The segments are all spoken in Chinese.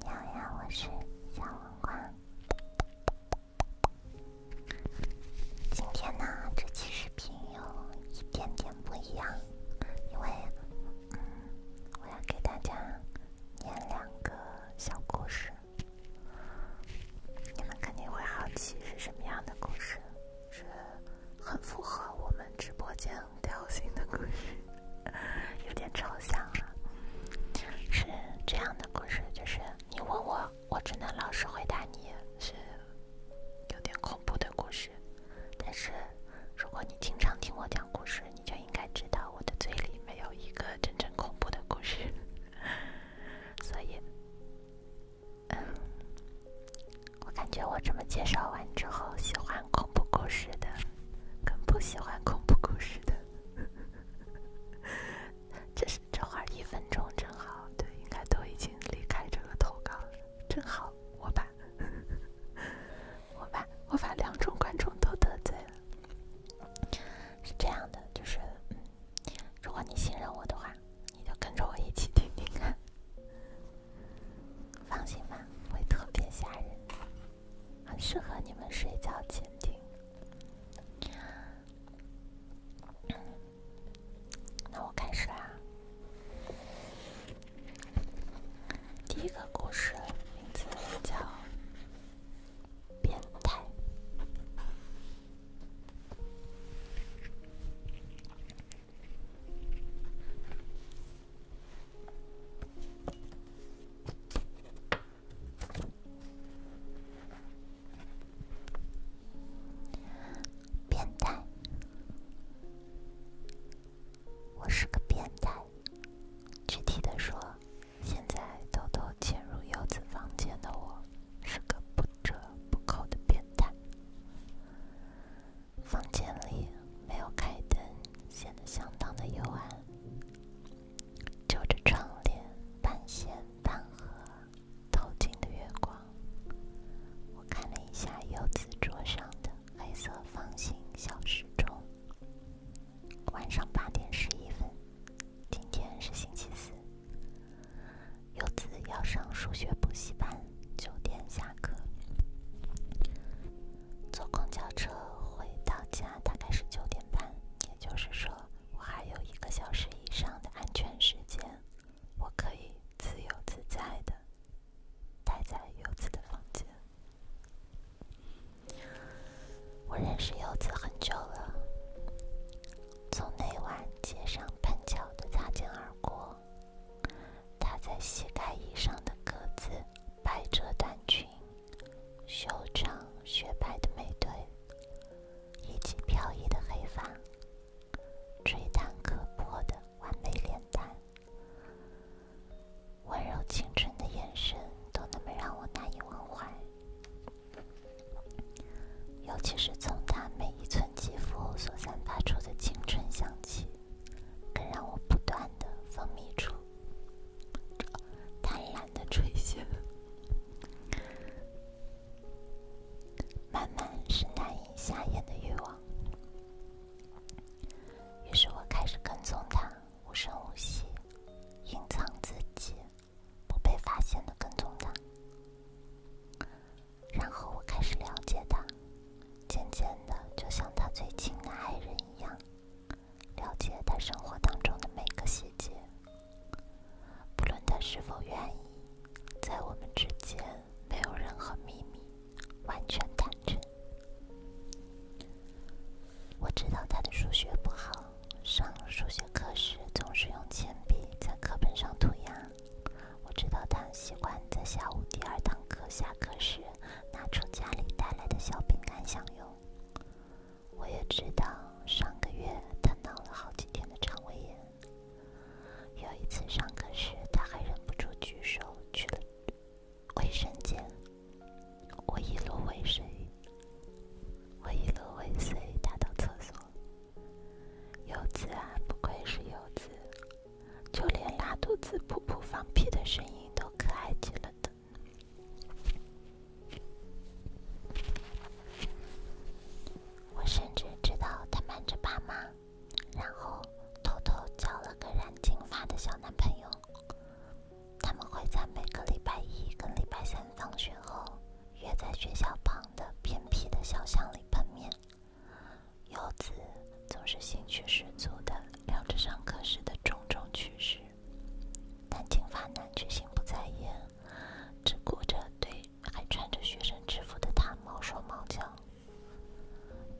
你好呀，我是小黄瓜。今天呢，这期视频有一点点不一样，因为我要给大家念两个小故事。你们肯定会好奇是什么样的故事？是。很符合我们直播间调性的故事，有点抽象了。是这样的故事，就是你问我，我只能老实回答你，是有点恐怖的故事。但是如果你经常听我讲故事，你就应该知道我的嘴里没有一个真正恐怖的故事。所以。嗯，我感觉我这么介绍完之后，喜欢恐怖故事的，跟不喜欢恐怖故事的，这是这会儿一分钟正好，对，应该都已经离开这个投稿了，正好，我把，我把，我把两种观众都得罪了。是这样的，就是，如果你信任我的话，你就跟着我一起听听看。放心吧，会特别吓人，很适合你们睡觉前听。那我开始啦，第一个故事名字叫《变态》。变态！我是个变态。具体的说，现在偷偷潜入优子房间的我，是个不折不扣的变态。房间里没有开灯，显得相当的幽暗。就着窗帘半线合透进的月光，我看了一下柚子桌上的黑色方形小时钟。晚上八点十一分，今天是星期四，柚子要上数学补习班。九点下课，坐公交车回到家大概是九点半，也就是说我还有一个小时以上的安全时间，我可以自由自在的待在柚子的房间。我认识柚子很久了，从那晚街上碰巧的擦肩而过。她在膝盖以上的格子百褶短裙，修长雪白的美腿，以及飘逸的黑发，吹弹可破的完美脸蛋，温柔清纯的眼神，都那么让我难以忘怀。尤其是从她每一寸肌肤所散发出的青春香气。更让我不断的分泌出，贪婪的垂涎，慢慢是难以下咽的欲望。于是我开始跟踪他，无声无息，隐藏自己，不被发现的跟踪他。然后我开始了解他，渐渐的，就像他最亲的爱人一样，了解他生活当中的每个细节，不论他是否愿意。在我们之间没有任何秘密，完全坦诚。我知道他的数学不好，上数学课时总是用铅笔在课本上涂鸦。我知道他喜欢在下午第二堂课下课时拿出家里带来的小饼干享用。我也知道上个月他闹了好几天的肠胃炎。有一次上课时他还忍不住举手去了卫生间。我一路尾随，我一路尾随他到厕所。柚子啊，不愧是游子。就连拉肚子、噗噗放屁的声音都可爱极了的。我甚至知道他瞒着爸妈，然后偷偷交了个染金发的小男朋友。他们会在每个礼拜一跟礼拜三放学后，约在学校旁的偏僻的小巷里碰面。游子总是兴趣十足的聊着上课时的种种趣事，但金发男却心不在焉，只顾着对还穿着学生制服的他毛手毛脚。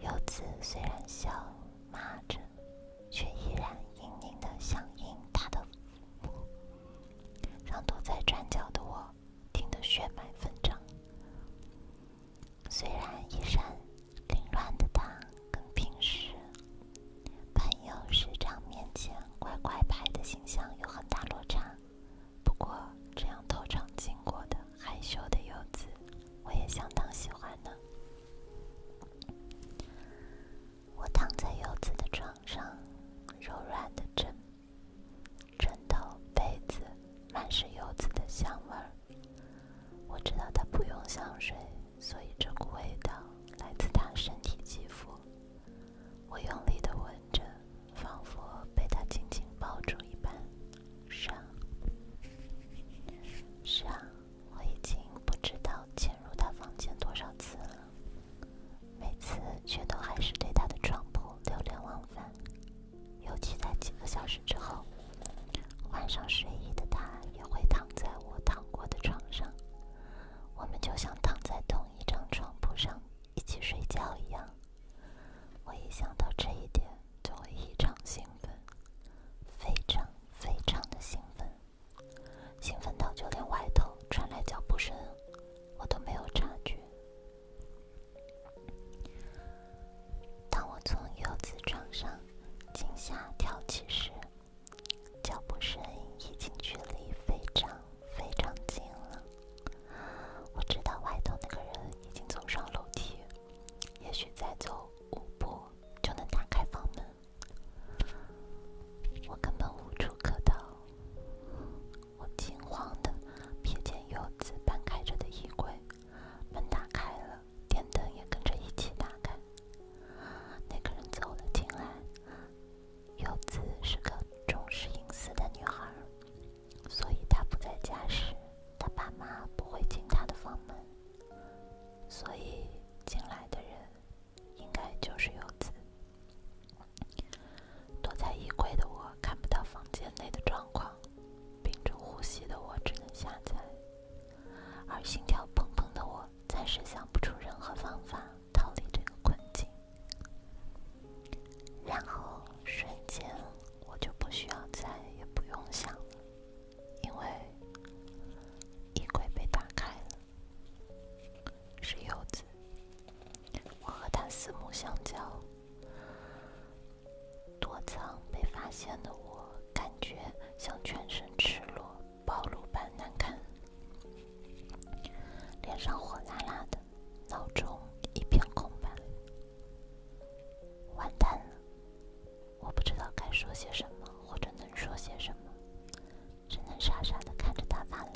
游子虽然笑骂着，却依然隐隐的响应他的，让躲在转角的我。听得血脉纷张。虽然衣衫凌乱的他，跟平时朋友时常面前乖乖牌的形象有很大落差，不过这样偷尝经过的害羞的柚子，我也相当喜欢呢。我躺在柚子的床上，柔软的枕。枕头、被子满是柚子的香味儿。我知道他不用香水，所以这股味道来自他身体肌肤。我用力的闻着，仿佛被他紧紧抱住一般。是啊，是啊，我已经不知道潜入他房间多少次了，每次却都还是对他的床铺流连忘返。尤其在几个小时之后，换上睡衣的他也会躺在我躺过的床上，我们就像躺在同一张床铺上一起睡觉一样。我一想到这一点，就会异常兴奋，非常非常的兴奋，兴奋到就连外头传来脚步声，我都没有察觉。当我从柚子床上惊吓跳起时，脚步声已经距离非常非常近了。我知道外头那个人已经走上楼梯，也许再走五步就能打开房门。我根本无处可逃。我惊慌的瞥见柚子半开着的衣柜，门打开了，电灯也跟着一起打开。那个人走了进来。柚子是个重视隐私的女孩，所以她不在家时，她爸妈不会进她的房门。所以进来的人应该就是柚子。躲在衣柜的我看不到房间内的状况。屏住呼吸的我只能下载，而心跳砰砰的我暂时想不出任何方法逃离这个困境。然后瞬间，我就不需要再也不用想了，因为衣柜被打开了，是柚子，我和他四目相交。躲藏被发现的我，感觉像全身赤裸，暴露般难看，脸上火辣辣的，脑中一片空白，完蛋了！我不知道该说些什么，或者能说些什么，只能傻傻的看着他发愣，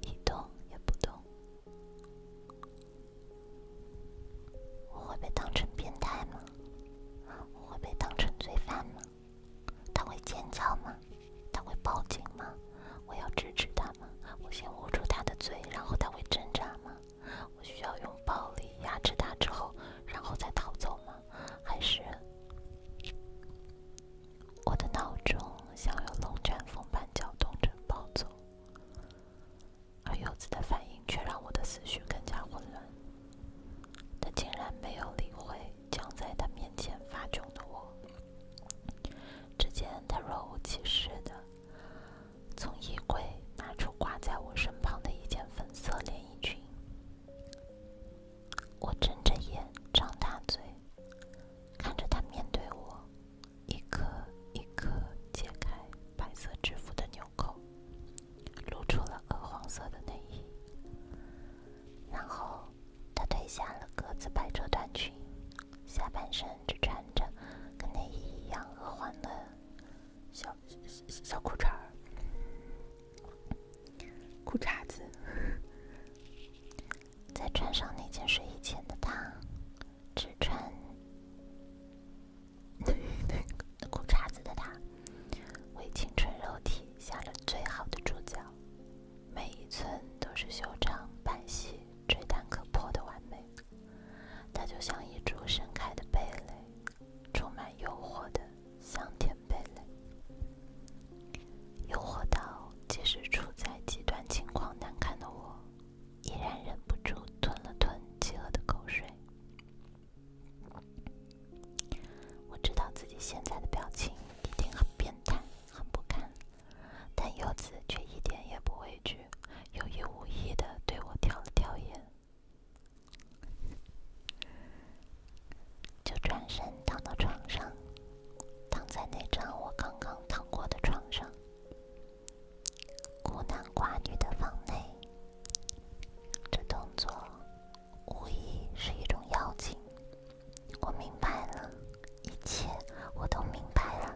一动也不动。我会被当成变态吗？我会被当成罪犯吗？他会尖叫吗？他会报警吗？我要制止他吗？我先捂住他的嘴，然后他会挣扎吗？我需要用暴力压制他之后，然后再逃走吗？还是我的闹钟像有龙卷风般搅动着暴走？而柚子的反应却让我的思绪更加混乱。他竟然没有理会僵在他面前发窘的我，只见他若无其事的从衣柜拿出挂在我身旁的一件粉色连衣裙。我睁着眼，张大嘴，看着他面对我。一颗一颗解开白色制服的纽扣，露出了鹅黄色的内衣。然后，他褪下了格子百褶短裙，下半身只穿着跟内衣一样鹅黄的小小裤衩儿、裤衩子。再穿上那件睡衣前的他。只穿那裤衩子的他，为青春肉体下了最好的注脚，每一寸都是修长、白皙、吹弹可破的完美。她就像一株盛开的蓓蕾，充满诱惑的香甜蓓蕾，诱惑到即使处在极端情况难堪的我。依然忍不住吞了吞饥饿的口水。我知道自己现在的表情一定很变态、很不堪，但柚子却一点也不畏惧，有意无意的对我挑了挑眼，就转身躺到床上，躺在那张我刚刚躺过的床上。孤男寡女的房内，这动作无疑是一种邀请。我明白了，一切我都明白了。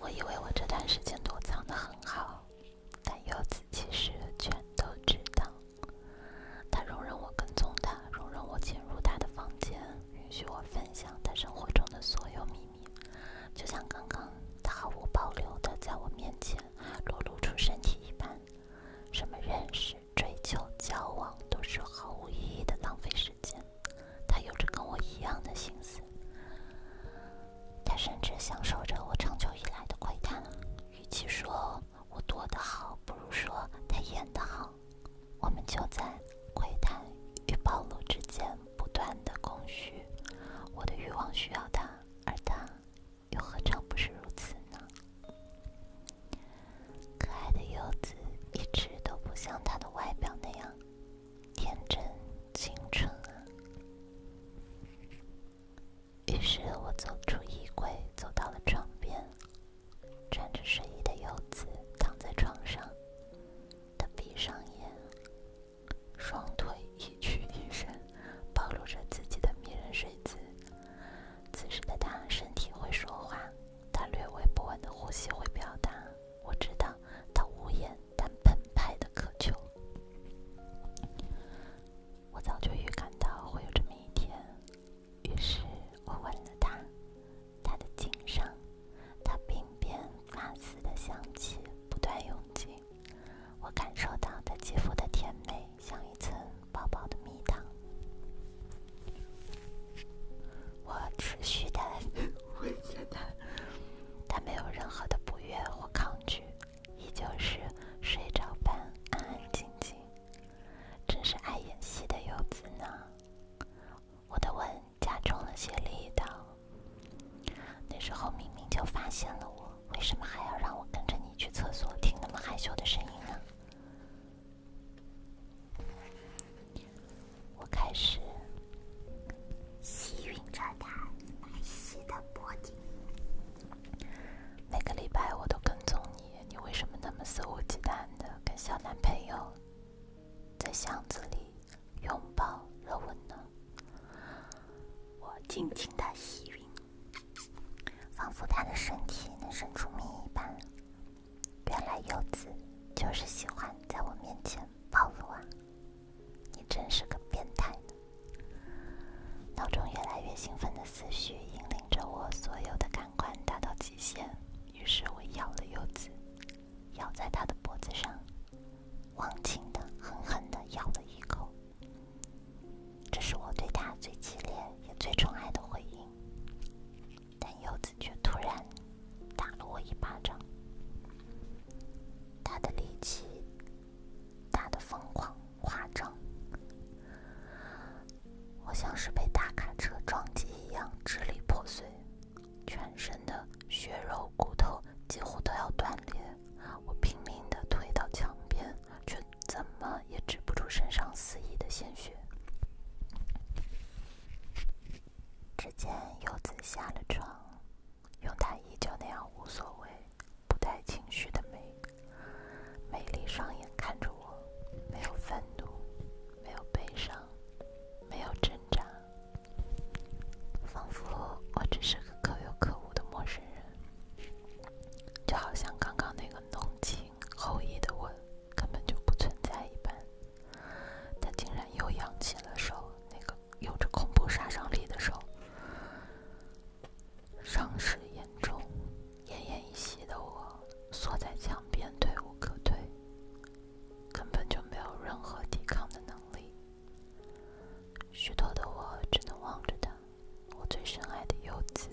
我以为我这段时间躲藏的很好，但柚子其实全都知道。他容忍我跟踪他，容忍我进入他的房间，允许我分享他生活中的所有秘密。就像刚刚，他毫无保留的在我面前裸露出身体一般。什么认识、追求、交往，都是毫无意义的浪费时间。他有着跟我一样的心思，他甚至享受着我长久以来的窥探。与其说……我躲得好，不如说他演得好。我们就在窥探与暴露之间不断的空虚。我的欲望需要他，而他又何尝不是如此呢？可爱的柚子一直都不像他的外表那样天真、青春啊。于是我走出衣柜，走到了床边。穿着睡衣的柚子躺在床上，他闭上眼，双腿一曲一伸，暴露着自己的迷人睡姿。此时的他身体会说话，他略微不稳的呼吸会表达，我知道他无言但澎湃的渴求。我早就预感到会有这么一天。于是我吻了他，他的颈上，他鬓边发丝的香气不断涌进，我感受到他肌肤的甜美，像一层薄薄的蜜糖。我持续的吻着他，他没有任何的不悦或抗拒，依旧是睡着般安安静静。真是爱演戏的柚子呢！我的吻加重了些力道。那时候明明就发现了我，为什么还要让我跟着你去厕所听那么害羞的声音呢？我开始吸吮着他白皙的脖颈。每个礼拜我都跟踪你。你为什么那么肆无忌惮的跟小男朋友在巷子里拥抱热吻呢？我静静的吸允，仿佛他的身体能生出蜜一般。原来柚子就是喜欢在我面前暴露啊！你真是个变态！脑中越来越兴奋的思绪引领。着我所有的感官达到极限，于是我咬了柚子，咬在他的脖子上，忘情的狠狠的咬了一口。这是我对他最激烈也最宠爱的回应，但柚子却突然打了我一巴掌，他的力气大的疯狂。夸张！我像是被大卡车撞击一样支离破碎，全身的血肉骨头几乎都要断裂。我拼命的推到墙边，却怎么也止不住身上肆意的鲜血。只见柚子下了床，用他依旧那样无所谓。不带情绪的美，美丽双眼看着我，没有愤怒，没有悲伤，没有挣扎，仿佛我只是个可有可无的陌生人。就好像刚刚那个浓情厚意的吻根本就不存在一般，他竟然又扬起了手，那个有着恐怖杀伤力的手。伤势严重、奄奄一息的我，缩在墙边，退无可退，根本就没有任何抵抗的能力。虚脱的我只能望着他，我最深爱的柚子，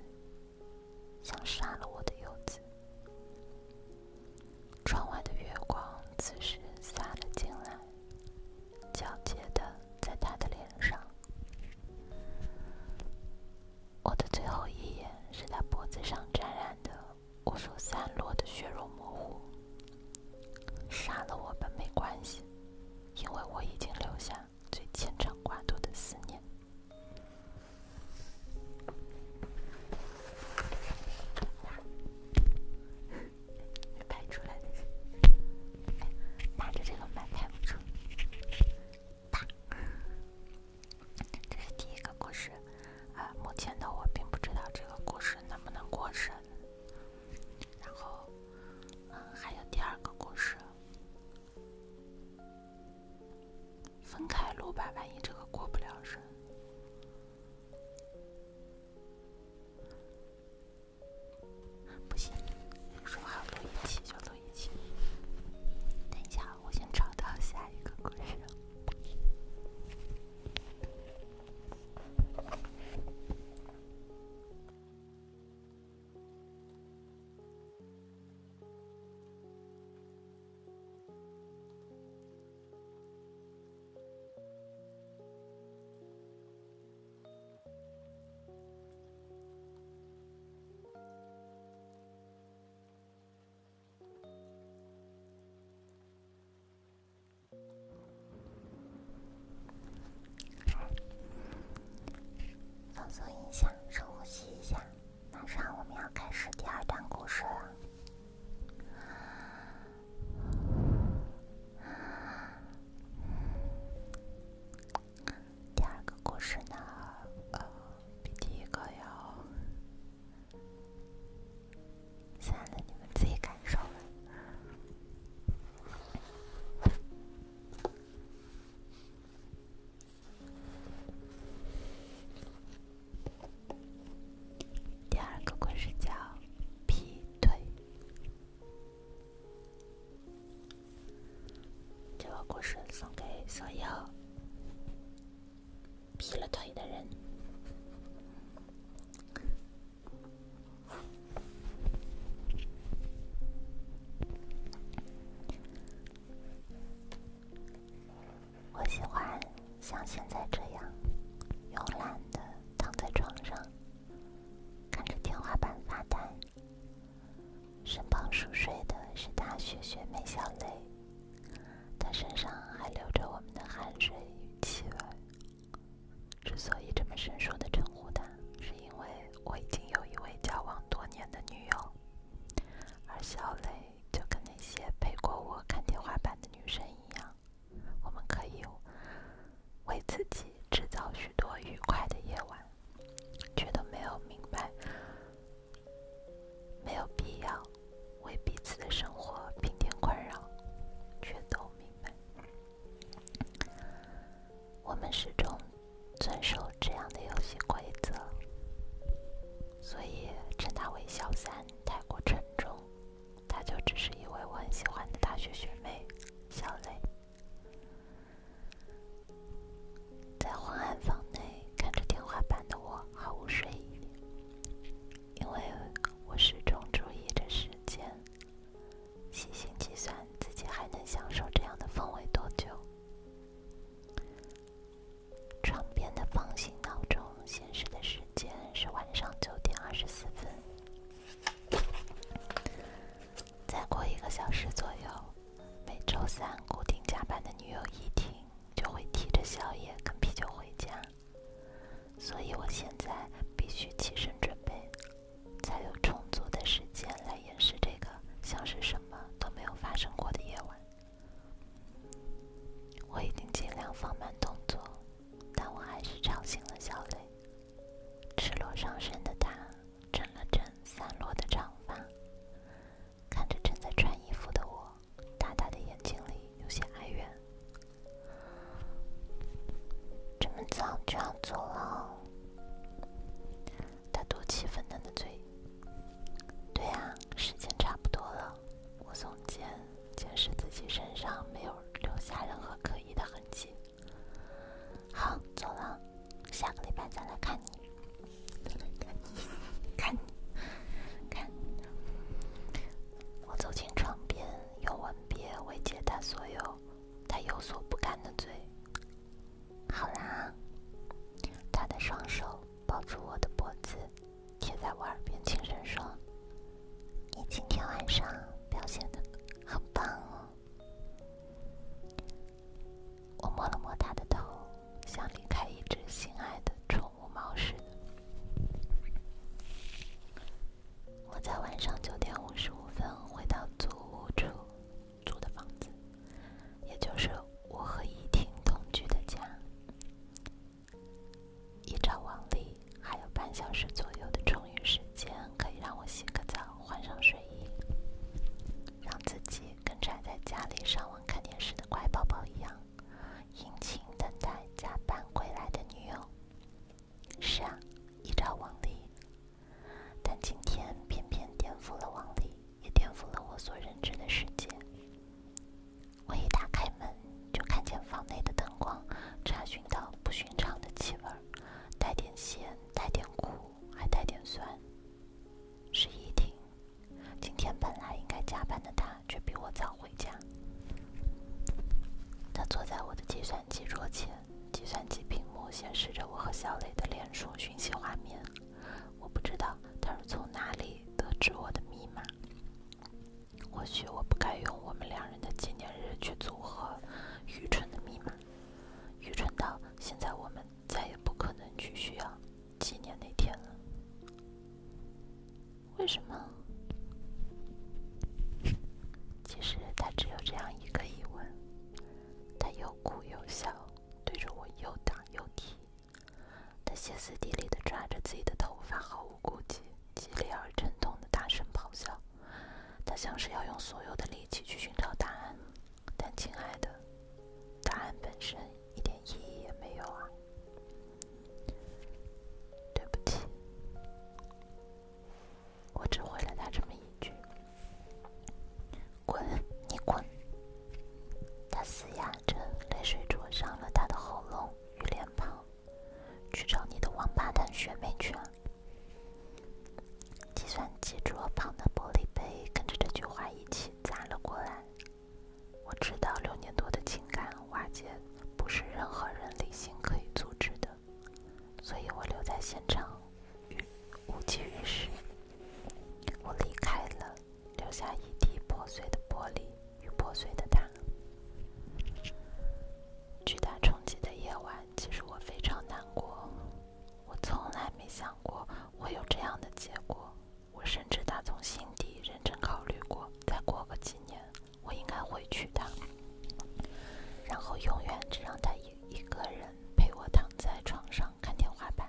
想杀了我的柚子。窗外的月光此时洒了进来，皎洁的在他的脸上。我的最后一眼是他脖子上沾染的无数散落的血肉模糊。杀了我吧没关系，因为我已经留下最牵肠挂肚的思念。拍出来的，拿着这个麦拍不出。啪，这是第一个故事啊。目前的我并不知道这个故事能不能过审。然后，嗯，还有第二个故事，分开录吧，万一这个过不了审。不行，说好录一起就走。一起等一下，我先找到下一个故事。放松一下，深呼吸一下。马上我们要开始第二段故事了。第二个故事呢，呃，比第一个要……算了，你们自己感受了。第二个故事叫“劈腿”。这个故事送给所有劈了腿的人。我喜欢像现在这样，慵懒的躺在床上，看着天花板发呆。身旁熟睡的是大学学妹小蕾，她身上还留着我们的汗水与气味。之所以这么生疏的称呼她，是因为我已经有一位交往多年的女友，而小蕾就跟那些陪过我看天花板的女生一样，我们可以。为自己制造许多愉快的夜晚，却都没有明白，没有必要为彼此的生活平添困扰，却都明白。我们始终遵守这样的游戏规则，所以称他为小三太过沉重，他就只是一位我很喜欢的大学学妹，小蕾。在昏暗房内看着天花板的我毫无睡意，因为我始终注意着时间，细心计算自己还能享受这样的氛围多久。床边的方形闹钟显示的时间是晚上九点二十四分。再过一个小时左右，每周三固定加班的女友一听就会提着宵夜跟啤酒回家，所以我现在必须起身准备，才有充足的时间来掩饰这个像是什么都没有发生过的夜晚。我已经尽量放慢动作，但我还是吵醒了小磊，赤裸上身的他。整了整散落的长发，看着正在穿衣服的我，大大的眼睛里有些哀怨。这么早就要走了？他嘟起粉嫩的嘴。对呀，时间差不多了。我耸肩，解释自己身上没有留下任何可疑的痕迹。好，走了，下个礼拜再来看你，看你，看你，看你。我走进床边，用吻别慰藉他所有他有所不甘的罪。好啦，他的双手抱住我的脖子，贴在我耳边轻声说：“你今天晚上表现的很棒哦。”我摸了摸他的头，像离开一只心爱的宠物猫似的。我在晚上九点五十五分回到租屋处租的房子，也就是我和依婷同居的家。依照往例，还有半小时左右的钟。余时间可以让我洗个澡，换上睡衣，让自己跟宅在家里上网看电视的乖宝宝一样，殷勤等待加班归来的女友。是啊，依照往例，但今天偏偏颠覆了往例，也颠覆了我所认知的世界。我一打开门，就看见房内的灯光，查询到不寻常的气味，带点咸。带点苦，还带点酸。是伊婷，今天本来应该加班的她，却比我早回家。她坐在我的计算机桌前，计算机屏幕显示着我和小磊的脸书讯息画面。我不知道他是从哪里得知我的密码。或许我不该用我们两人的纪念日去组合愚蠢的密码。愚蠢到，现在我们再也不可能去需要纪念那天了。为什么？其实他只有这样一个疑问。他又哭又笑，对着我又打又踢，他歇斯底里地抓着自己的头发，毫无顾忌，激烈而沉痛地大声咆哮。他像是要用所有的力气去寻找答案，但亲爱的，答案本身一点意义也没有啊！对不起，我只回了他这么一句：“滚，你滚。”他嘶哑着，泪水灼伤了他的喉咙与脸庞。去找你的王八蛋学妹去啊！计算机桌旁的玻璃杯跟着这句话一起砸了过来。我知道六年多的情感瓦解不是任何人理性可以阻止的，所以我留在现场，于无济于事。我离开了，留下一地破碎的玻璃与破碎的他。巨大冲击的夜晚。其实我非常难过，我从来没想过会有这样的结果。我甚至打从心底认真考虑过，再过个几年，我应该会娶她，然后永远只让她一一个人陪我躺在床上看天花板。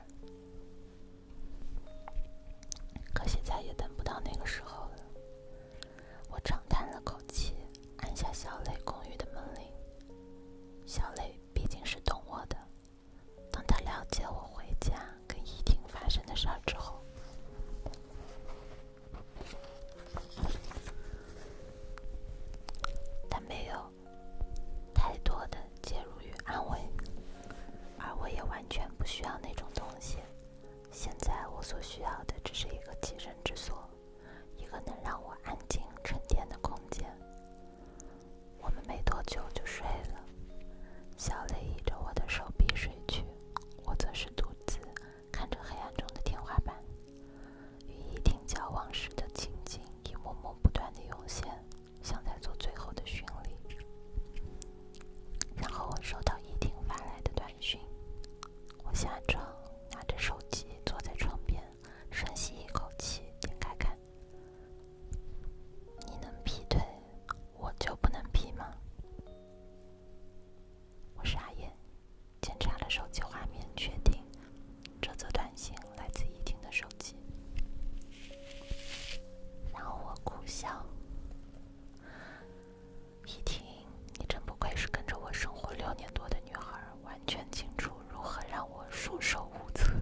可惜再也等不到那个时候了。我长叹了口气，按下小磊公寓的门铃。小磊毕竟是懂我的，当他了解我回家跟依婷发生的事儿之后，他没有太多的介入与安慰，而我也完全不需要那种东西。现在我所需要的只是一个栖身之所。一个能让我安静沉淀的空间。我们没多久就睡了，小雷倚着我的手臂睡去，我则是独自看着黑暗中的天花板。与伊婷交往时的情景一幕幕不断的涌现，像在做最后的巡礼。然后我收到伊婷发来的短讯。我下床，拿着手机坐在床边，深吸一口气，点开看。你能劈腿，我就不能劈吗？我傻眼，检查了手机画面，确定这则短信来自依婷的手机，然后我苦笑。一听，你真不愧是跟着我生活六年多的女孩，儿。完全清楚如何让我束手无策。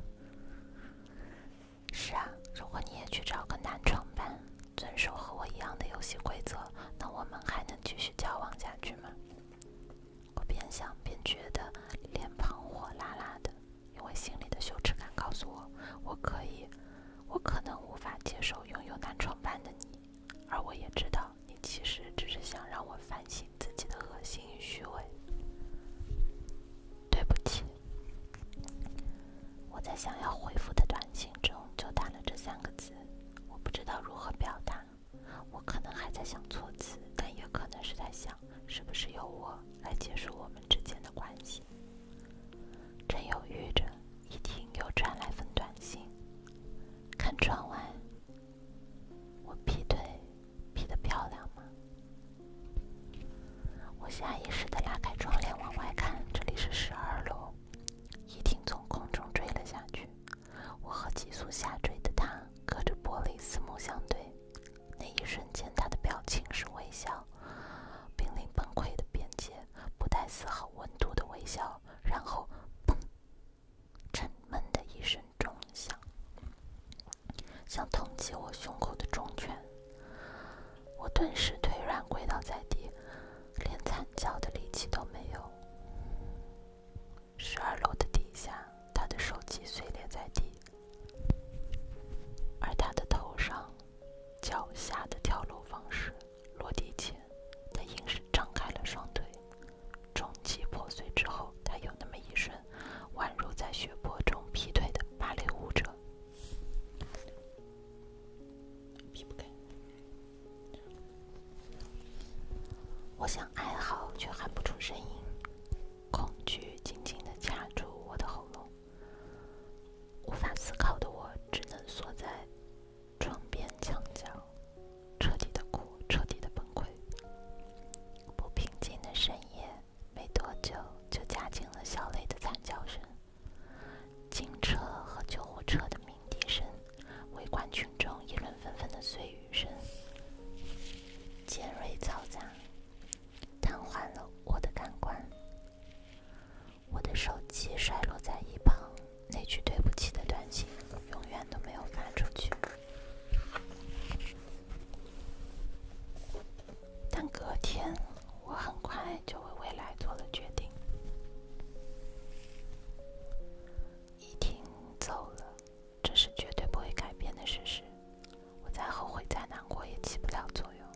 是啊，如果你也去找个男床伴，遵守和我一样的游戏规则，那我们还能继续交往下去吗？我边想边觉得脸庞火辣辣的，因为心里的羞耻感告诉我，我可以，我可能无法接受拥有男床伴的你，而我也知道。你其实只是想让我反省自己的恶心与虚伪。对不起，我在想要回复的短信中就打了这三个字，我不知道如何表达。我可能还在想措辞，但也可能是在想，是不是由我来结束我们之间的关系？正犹豫着。一听又传来份短信，看窗外，我劈腿劈的漂亮吗？我下意识的拉开窗帘往外看，这里是十二楼，一听从空中坠了下去，我和急速下坠的他隔着玻璃四目相对，那一瞬间他的表情是微笑，濒临崩溃的边界，不带丝毫温度的微笑，然后砰。沉闷的一声钟响，像通击我胸口的重拳。我顿时腿软，跪倒在地，连惨叫的力气都没有。十二楼的底下，他的手机碎裂在地，而他的头上、脚下的跳楼方式。落地前，他硬是张开了双腿。重击破碎之后，他有那么一瞬，宛如在血泊中劈腿的芭蕾舞者。我想哀嚎，却喊不出声音，恐惧紧紧的卡住我的喉咙，无法思考的我只能缩在。床边墙角，彻底的哭，彻底的崩溃。不平静的深夜，没多久就夹进了小雷的惨叫声、警车和救护车的鸣笛声、围观群众议论纷纷的碎语声，尖锐嘈杂，瘫痪了我的感官。我的手机摔落在一旁，那句对不起的短信永远都没有发出去。但隔天，我很快就为未来做了决定。依婷走了，这是绝对不会改变的事实。我再后悔再难过也起不了作用。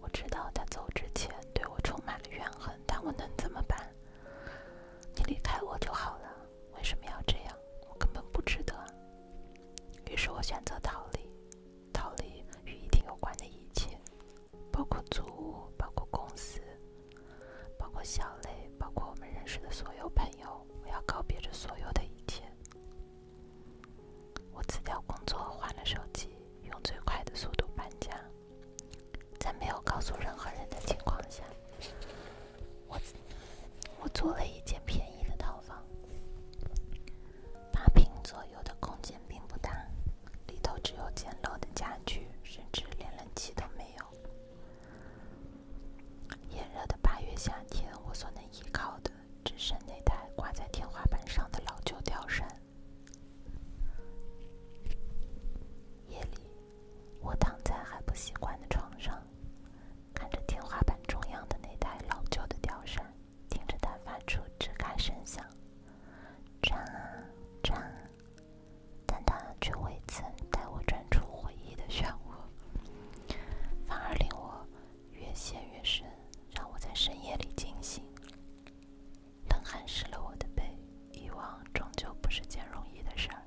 我知道他走之前对我充满了怨恨，但我能怎么办？你离开我就好了，为什么要这样？我根本不值得。于是我选择逃离，逃离与一定有关的一切，包括租屋，包括公司，包括小磊，包括我们认识的所有朋友。我要告别这所有的一切。我辞掉工作，换了手机，用最快的速度搬家。在没有告诉任何人的情况下，我我租了一间便宜的套房，八平左右的空间并不大，里头只有简陋的家具，甚至连冷气都没有。炎热的八月夏天，我所能依靠的只剩那台挂在天花板上的老旧吊扇。夜里，我躺在还不习惯的床上，看着天花板中央的那台老旧的吊扇，听着它发出吱嘎声响，转啊转，但它却未曾带我转出回忆的漩涡，反而令我越陷越深，让我在深夜里惊醒。冷汗湿了我的背，遗忘终究不是件容易的事儿，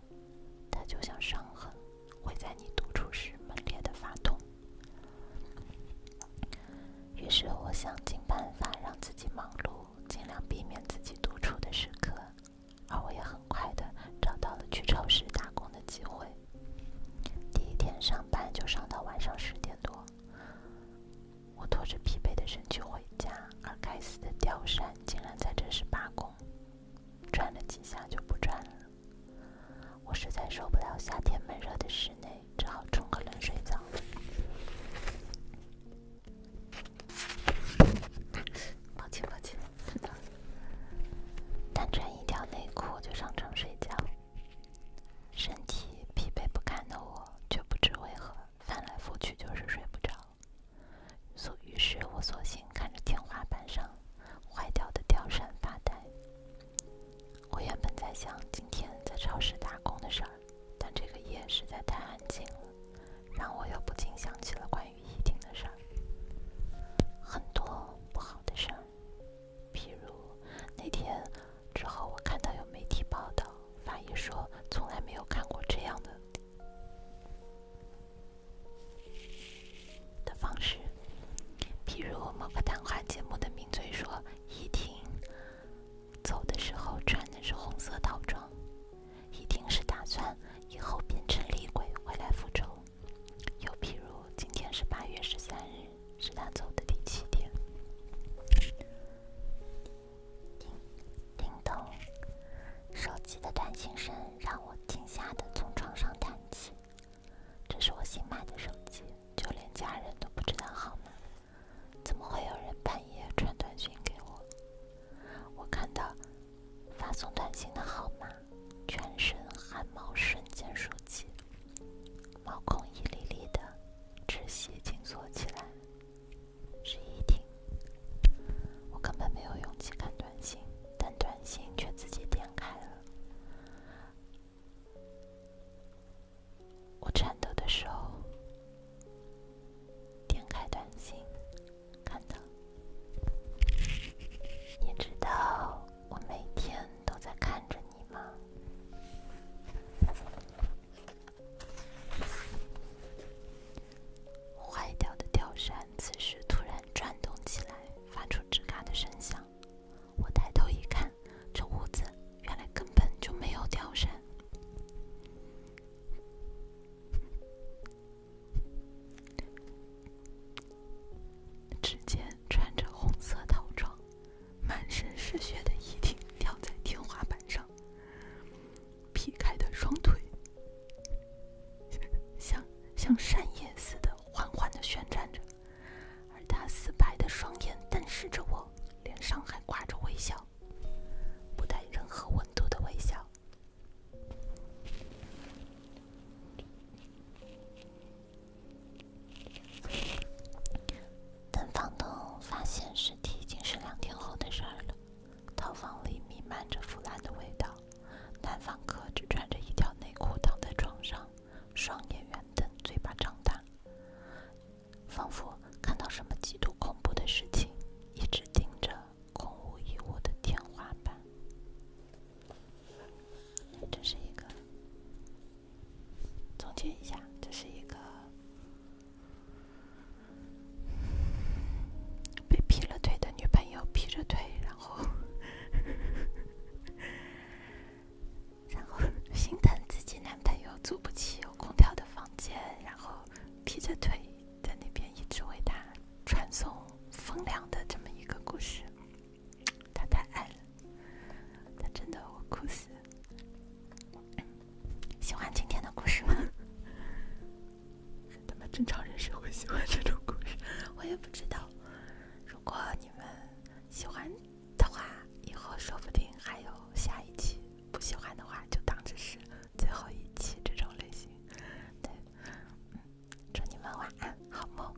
它就像伤痕，会在你独处时猛烈的发痛。于是，我想尽办法让自己忙碌，尽量避免自己独处的时刻，而我也很快的找到了去超市打工的机会。第一天上班就上到晚上十点多。我拖着疲惫的身躯回家，而该死的吊扇竟然在这时罢工，转了几下就不转了。我实在受不了夏天闷热的室内，只好冲个冷水澡。抱歉抱歉，单穿一条内裤就上床睡觉，身体疲惫不堪的我，却不知为何。翻来覆去就是睡不着，所于是我索性看着天花板上坏掉的吊扇发呆。我原本在想今天在超市打工的事儿，但这个夜实在太安静了，让我又不禁想起了关于一婷的事儿，很多不好的事儿，比如那天。之后，我看到有媒体报道，法医说从来没有看过这样的的方式。譬如某个谈话节目的名嘴说，伊婷走的时候穿的是红色套装，一定是打算以后变成厉鬼回来复仇。又譬如，今天是八月十三日，是他走的第七天。叮！叮咚！手机的短信声让我惊吓的从床上弹起。这是我新买的手机，就连家人都不知道号码。怎么会有人半夜传短信给我？我看到发送短信的号码，全身汗毛瞬间竖起，毛孔一粒粒的，窒息紧缩起来。十一点，我根本没有勇气看短信，但短信却自己点开了。我颤抖的手点开短信，看到，你知道我每天都在看着你吗？坏掉的吊扇此时突然转动起来，发出吱嘎的声响。我抬头一看，这屋子原来根本就没有吊扇。只见穿着红色套装。满身是血的遗体吊在天花板上，劈开的双腿像像扇叶似的缓缓的旋转着，而他死白的双眼瞪视着我，脸上还挂着微笑，不带任何温度的微笑。等房东发现尸体，已经是两天后的事儿了。套房里弥漫着腐烂的味道，男房客只穿着一条内裤躺在床上，双眼圆瞪，嘴巴张大，仿佛看到什么极度恐怖的事情，一直盯着空无一物的天花板。这是一个。总结一下，这是一个被劈了腿的女朋友，劈着腿，然后，然后心疼自己男朋友租不起有空调的房间，然后劈着腿在那边一直为他传送风凉的这么一个故事。他太爱了。他真的，我哭死。喜欢今天的故事吗？他们正常人是会喜欢这种故事，我也不知道。如果你们喜欢的话，以后说不定还有下一期；不喜欢的话，就当这是最后一期这种类型。对，嗯，祝你们晚安，好梦。